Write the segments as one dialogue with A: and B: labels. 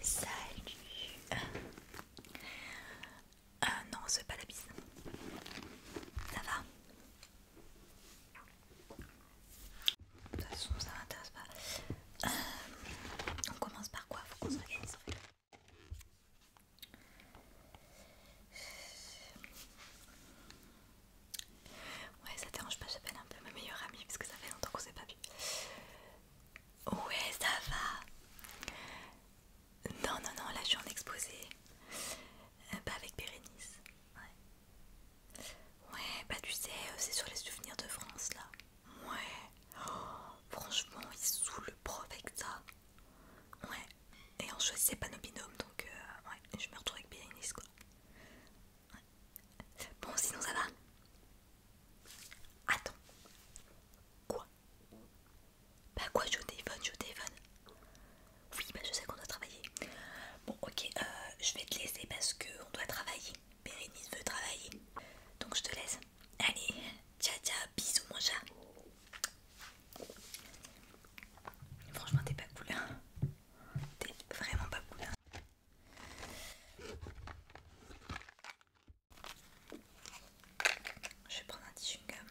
A: Salut euh, ne Non, c'est pas la bise. Ça va De toute façon, ça ne m'intéresse pas. Euh, on commence par quoi Faut qu'on se Ouais, ça dérange pas, j'appelle un peu ma meilleure amie parce que ça fait longtemps qu'on s'est pas vu. Ouais, ça va. Non, non, non, là je suis en exposé. Euh, pas bah avec Bérénice. Ouais. Ouais, bah tu sais, euh, c'est sur les souvenirs de France là. Ouais. Oh, franchement, il sous le prof avec ça. Ouais, et on choisissait pas nos binômes donc euh, ouais, je me retrouve avec Bérénice quoi. Bon, sinon ça va Attends. Quoi Bah quoi, je suis au téléphone, je téléphone. Oui, bah je sais qu'on doit travailler. Bon, ok, euh, je vais te laisser parce qu'on doit travailler. Bérénice veut travailler. Donc je te laisse. Allez, ciao ciao, bisous mon chat. Franchement, t'es pas cool. Hein. T'es vraiment pas cool. Hein. Je vais prendre un petit chewing-gum.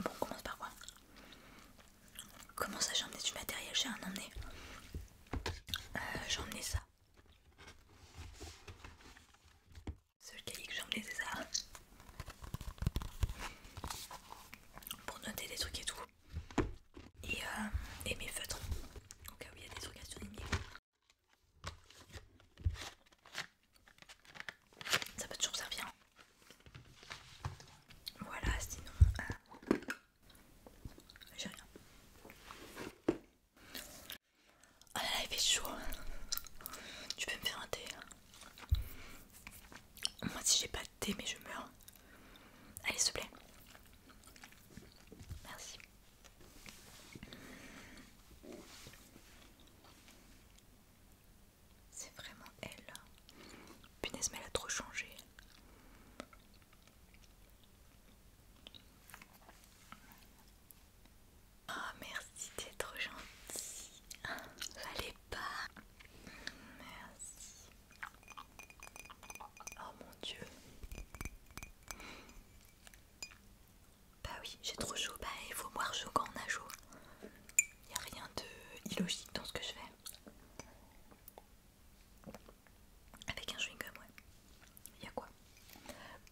A: Bon, on commence par quoi Comment ça j'ai emmené du matériel J'ai un emmené. Euh, j'ai emmené ça. Seul cahier que j'ai emmené c'est ça. Pour noter des trucs et tout. Et, euh, et mes feutres. Au cas où il y a des trucs à surligner. Ça peut toujours servir. Hein. Voilà, sinon euh, j'ai rien. Ah là là, il fait chaud. Tu peux me faire un thé hein. Moi, si j'ai pas de thé, mais je meurs. Allez, s'il te plaît. Merci. C'est vraiment elle. Punaise, mais elle a trop changé. Oh, merci, t'es trop gentil. allez pas. Merci. Oh mon dieu. Bah oui, j'ai trop chaud. Bah il faut boire chaud quand on a chaud. Il a rien de illogique dans ce que je fais. Avec un chewing-gum, ouais. Il y a quoi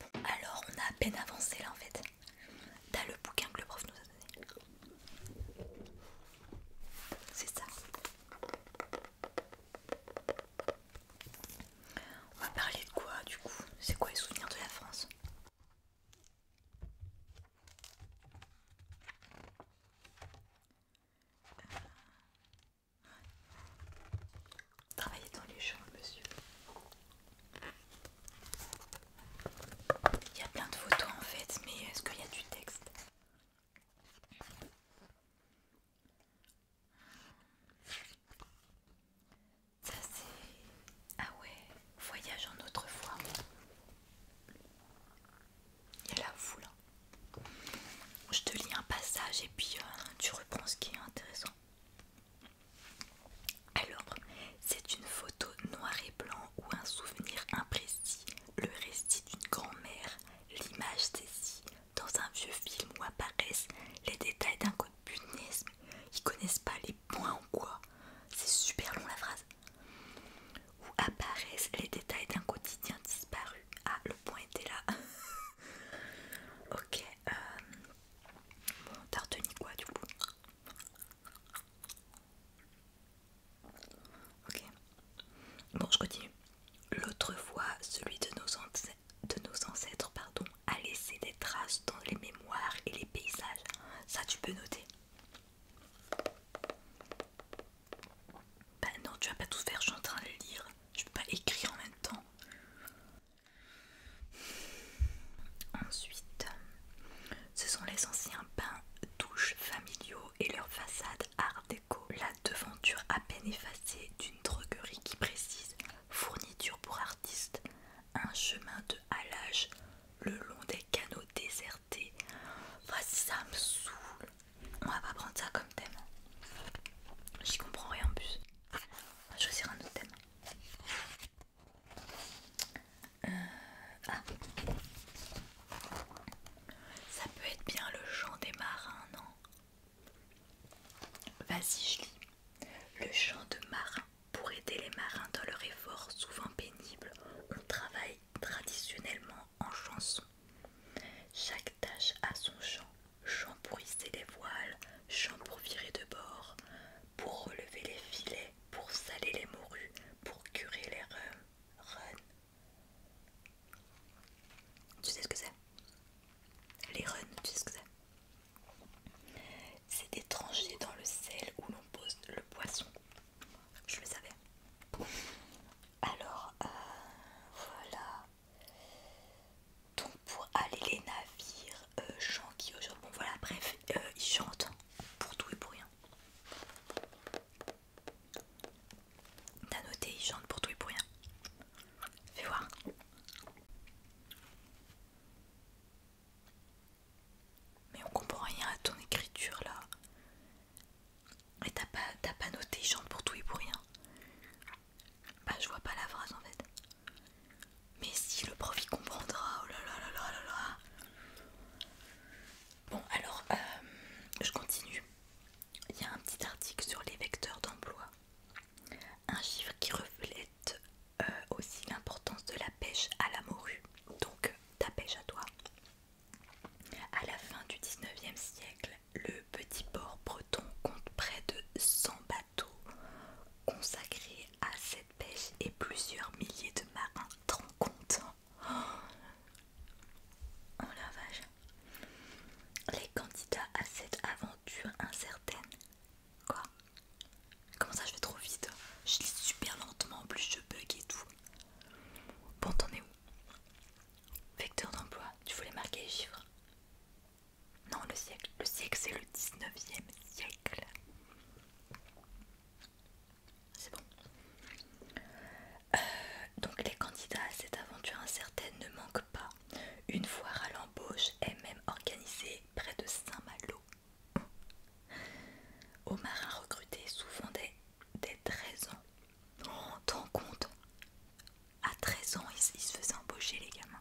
A: bon, Alors, on a à peine avancé là en fait. T'as le bouquin que le prof nous a donné. C'est ça. On va parler de quoi du coup C'est quoi les souvenirs de la France euh, Travailler dans les champs, monsieur. Il y a plein de photos en fait, mais est-ce qu'il y a du texte Ça c'est... Ah ouais, voyage en autrefois. Il y a la foule. Je te lis un passage et puis euh, tu reprends ce qui est intéressant. Alors, c'est une photo noir et blanc ou un souvenir imprécis, le récit d'une grand-mère, l'image saisie dans un vieux film où apparaissent les détails d'un code punaise. Ils connaissent pas les points ou quoi. C'est super long la phrase où apparaissent les détails d'un quotidien disparu. Ah, le point était là. ok. Euh, bon, t'as retenu quoi du coup Ok. Bon, je continue. L'autre fois, celui de nos, de nos ancêtres pardon, a laissé des traces dans les mémoires et les paysages. Ça, tu peux noter. Ben non, tu vas pas tout faire, je suis en train de le lire. Je peux pas écrire en même temps. Ensuite, ce sont les anciens pains douches familiaux et leur façade art déco. La devanture à peine effacée d'une droguerie qui précise fournitures pour artistes, un chemin de halage le long des canaux désertés. ça me saoule. On va pas prendre ça comme thème. J'y comprends rien en plus. On va choisir un autre thème. Euh, ah. Ça peut être bien le chant des marins, non Vas-y, je lis. Le chant de marin. Pour aider les marins dans leur effort souvent pénible, on travaille traditionnellement en chanson. Chaque tâche a son chant, chant pour hisser les voiles, chant pour virer de bord, pour relever les filets, pour saler les morues, pour curer les runs. Tu sais ce que c'est Les runs, tu sais ce que c'est c'est des dans le sel où l'on pose le poisson. Je le savais. Alors, euh, voilà. Donc pour aller les navires, euh, Jean qui aujourd'hui. Bon voilà, bref, euh, ils chantent pour tout et pour rien. T'as noté, ils chantent pour tout et pour rien. Fais voir. Mais on comprend rien à ton écriture là. Et t'as pas, pas noté, ils pour tout et pour rien. Bah, je vois pas la phrase en fait. Mais si le prof il comprendra, oh là là là là là. Bon, alors, euh, je continue. Il y a un petit article sur les vecteurs d'emploi. Un chiffre qui reflète euh, aussi l'importance de la pêche à la morue. Donc, ta pêche à toi. À la fin du 19e siècle, le petit port breton compte près de 100 bateaux consacrés à cette pêche et plusieurs milliers de marins t'en en lavage. Les candidats à cette aventure incertaine, quoi? Comment ça je vais trop vite Je lis super lentement, en plus je bug et tout. Bon, t'en es où Vecteur d'emploi, tu voulais marquer les chiffres Non, le siècle. Le siècle, c'est le 19e siècle. C'est bon. Euh, donc les candidats à cette aventure incertaine ne manquent pas. Une foire à l'embauche est même organisée près de Saint-Malo. Omar a recruté souvent dès, 13 ans. en T'en compte À 13 ans, ils, se faisaient embaucher les gamins.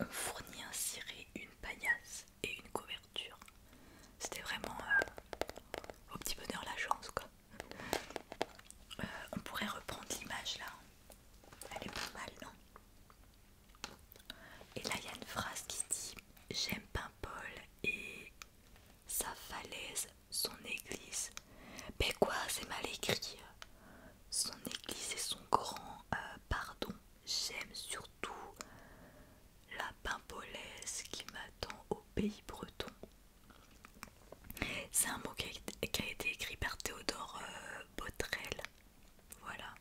A: On fournit un ciré, une paillasse et une couverture. C'était vraiment euh, au petit bonheur la chance quoi. Euh, on pourrait reprendre l'image là. Elle est pas mal, non et là, il y a une phrase qui dit J'aime Paimpol et sa falaise, son église. Mais quoi, c'est mal écrit. Son église et son grand euh, pardon. J'aime surtout la paimpolaise qui m'attend au pays breton. C'est un mot qui a, été écrit par Théodore euh, Botrel. Voilà.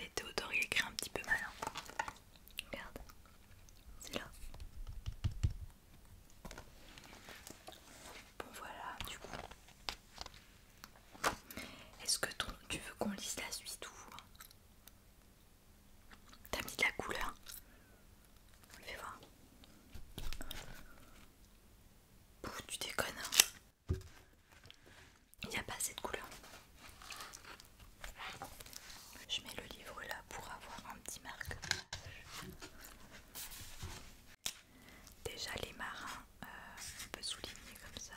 A: Et Théodore il écrit un petit peu mal. Regarde, c'est là. Bon voilà, du coup. Est-ce que tu veux qu'on lise la suite ou T'as mis de la couleur Fais voir. Pouf, tu déconnes. Hein. Il n'y a pas assez de couleurs. Je mets le livre là pour avoir un petit marque. Déjà les marins, euh, on peut souligner comme ça.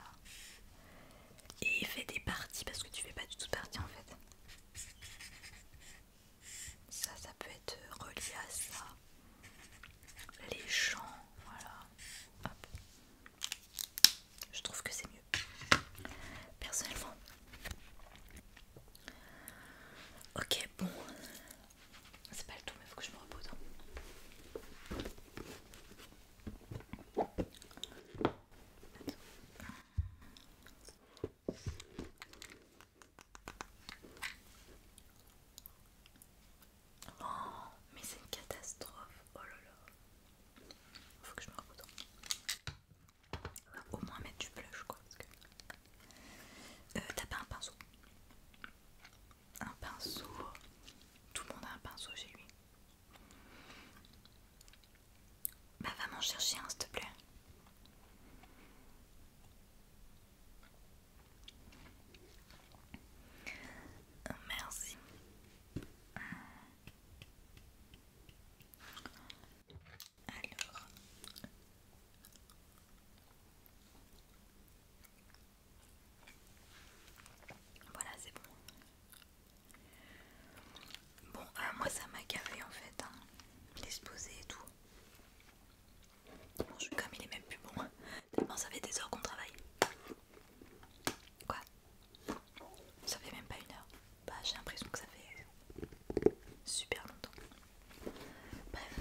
A: Et il fait des parties parce que tu fais pas du tout partie en fait. Ça, ça peut être relié à ça. Les champs, voilà. Hop. Je trouve que c'est mieux. Personnellement. Ok, bon. C'est pas le tout, mais il faut que je me repose. Hein. Oh, mais c'est une catastrophe. Oh là là. Faut que je me va Au moins mettre du blush quoi. Euh, t'as pas un pinceau Un pinceau. Tout le monde a un pinceau chez lui. Bah va m'en chercher un s'il te plaît. Merci. Alors. Voilà, c'est bon. Bon, euh, moi ça m'a gavé en fait, hein, l'exposé et tout. je comme il est même plus bon. bon ça fait des heures qu'on travaille. Quoi ça fait même pas une heure. Bah, j'ai l'impression que ça fait super longtemps. Bref,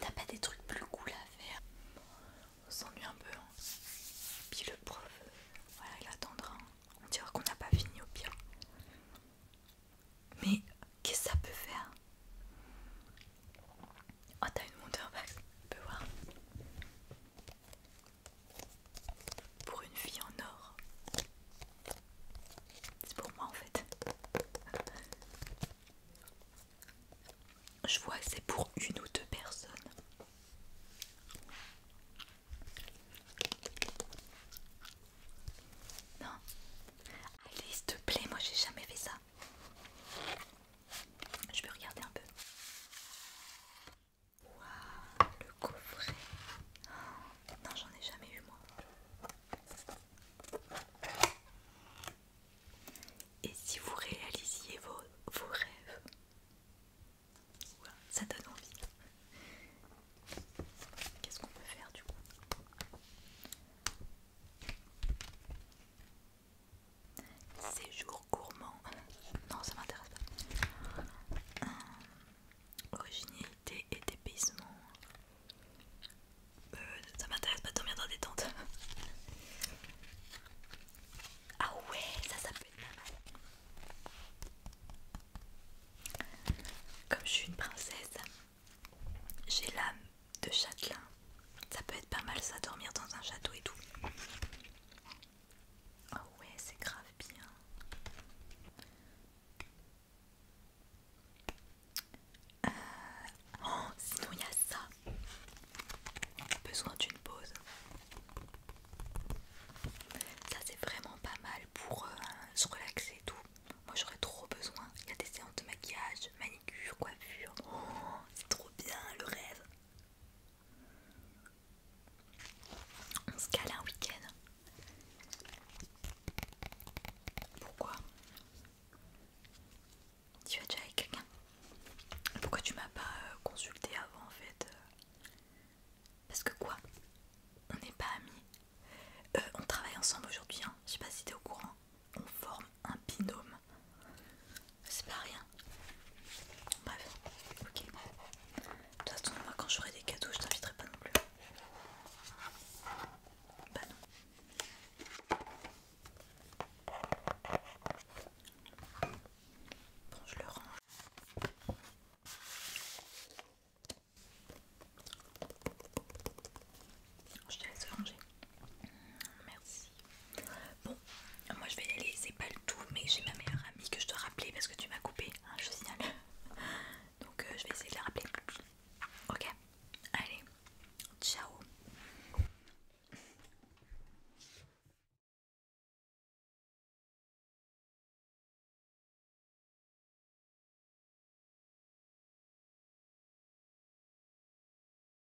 A: t'as pas des trucs plus cool à faire. On s'ennuie un peu. Hein. Puis le prof, euh, voilà, il attendra. Hein. On dira qu'on n'a pas fini au pire. Mais qu'est-ce que ça peut faire Oh, t'as une monteur back, on peux voir. Pour une fille en or. C'est pour moi en fait. Je vois que c'est pour une ou deux personnes. Non. Allez, s'il te plaît, moi j'ai jamais fait ça. Je peux regarder un peu. Waouh, le coffret. non, j'en ai jamais eu moi. Et si vous réalisiez vos, rêves, ça donne envie. Qu'est-ce qu'on peut faire du coup Séjour gourmand. Non, ça m'intéresse pas. Euh, originalité et dépaysement. Euh, ça m'intéresse pas de dormir dans des tentes. Ah ouais, ça, ça peut être mal. Comme je suis une princesse, j'ai l'âme de châtelain. Ça peut être pas mal ça, dormir dans un château et tout. Oh ouais, c'est grave bien. Euh, oh, sinon il y a ça. Besoin d'une pause. Ça c'est vraiment pas mal pour euh, se relaxer et tout. Moi j'aurais trop besoin. Il y a des séances de maquillage, manicure, coiffure. Oh, c'est trop bien le rêve. On se cale un week-end. Pourquoi Tu vas déjà avec quelqu'un Pourquoi tu m'as pas euh, consulté avant en fait euh Parce que quoi On n'est pas amis. Euh, on travaille ensemble aujourd'hui, hein. je sais pas si t'es au courant on forme un binôme. C'est pas rien. Bref, ok. De toute façon, moi quand j'aurai des cadeaux, je t'inviterai pas non plus. Bah non. Bon, je le range. Je te laisse ranger. Merci. Bon, moi je vais y aller, c'est pas le tout, mais j'ai ma meilleure amie que je dois rappeler parce que tu m'as coupé, hein, je signale. Donc euh, je vais essayer de la rappeler. Ok, allez, ciao.